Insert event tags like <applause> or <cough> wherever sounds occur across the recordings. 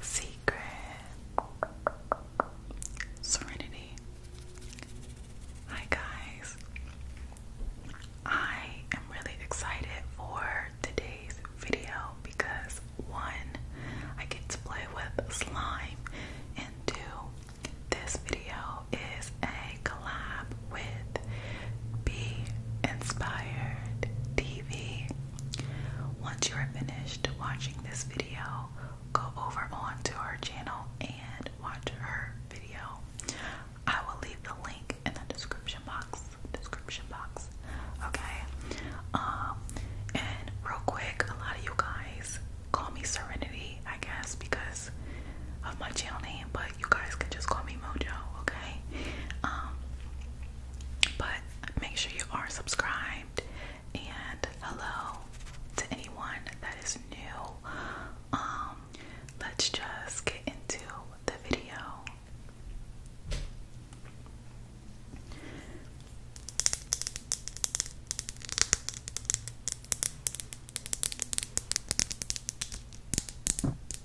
Secret Serenity. Hi, guys. I am really excited for today's video because one, I get to play with slime, and two, this video is a collab with be Inspired TV. Once you are finished watching this video, go over onto our channel and watch her video. I will leave the link in the description box. Description box. Okay. Um and real quick, a lot of you guys call me Serenity, I guess, because of my channel name, but you guys can just call me Mojo, okay? Um but make sure you are subscribed. And hello to anyone that is new. Um, let's just get into the video.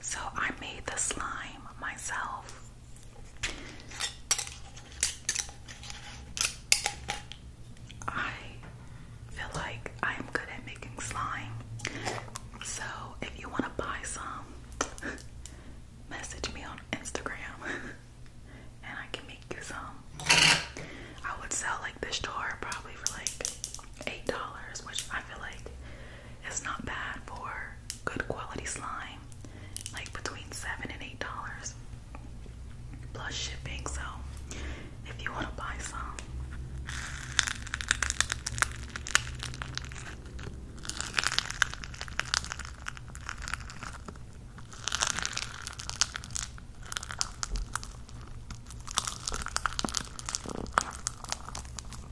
So I made the slime myself. I feel like I am good at making slime. So if you want to buy some, <laughs> message me on Instagram <laughs> and I can make you some. I would sell like this jar probably for like $8, which I feel like it's not bad for good quality slime, like between seven and eight dollars plus shipping. So, if you want to buy some.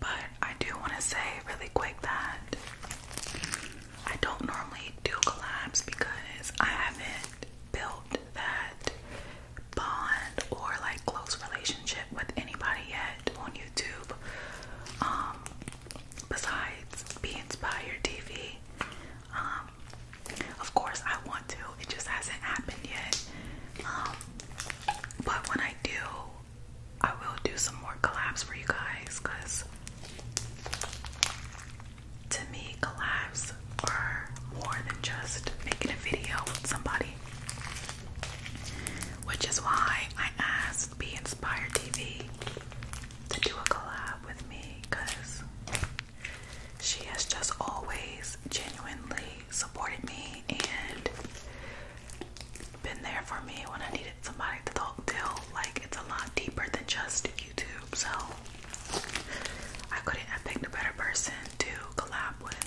But I do want to say really quick that I don't normally do collabs because I haven't built that bond or like close relationship with anybody yet on YouTube. Um, besides being Inspired by your TV. Um, of course I want to, it just hasn't happened yet. Um, but when I do, I will do some more collabs for you guys because to me, collabs are more than just making a video with somebody. Which is why I asked Be Inspired TV to do a collab with me because she has just always genuinely supported me and been there for me when I needed somebody to talk to. Like it's a lot deeper than just YouTube. So I couldn't have picked a better person to collab with.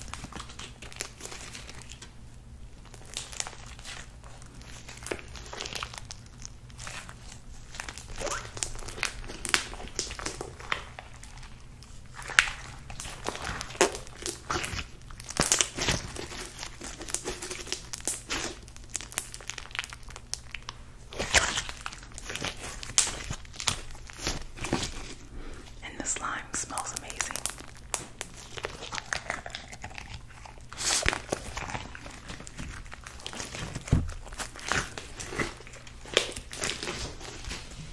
And the slime smells amazing.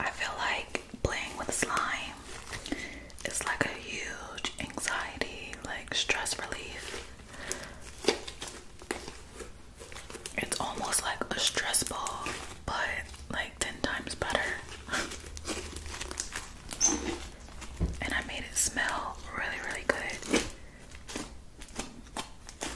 I feel like playing with slime is like a huge anxiety, like stress relief. It's almost like a stress ball, but like 10 times better. and I made it smell really, really good.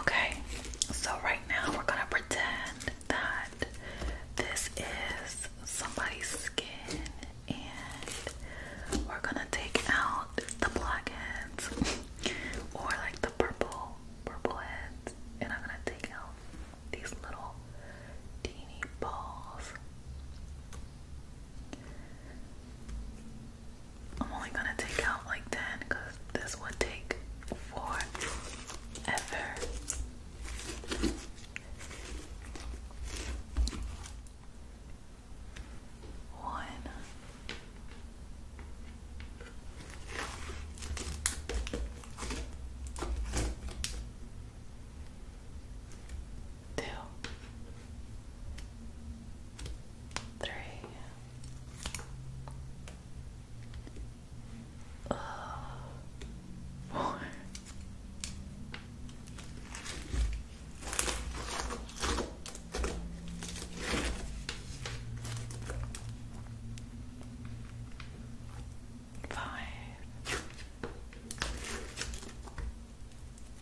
Okay, so right now we're gonna pretend that this is somebody's skin and we're gonna take out the black <laughs> or like the purple, purple heads, and I'm gonna take out these little teeny balls. I'm only gonna take out like 10 because this would take forever. One. Two three. Uh, four. Five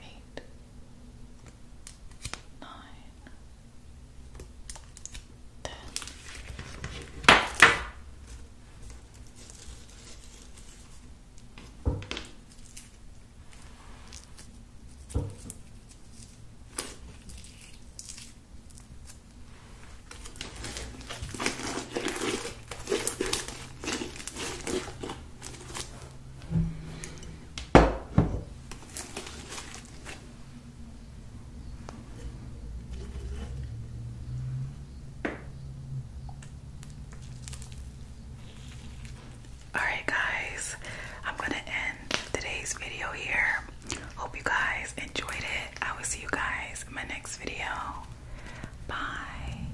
eight, nine, ten. Alright, guys, I'm going to end today's video here. Hope you guys enjoyed it. I will see you guys in my next video. Bye.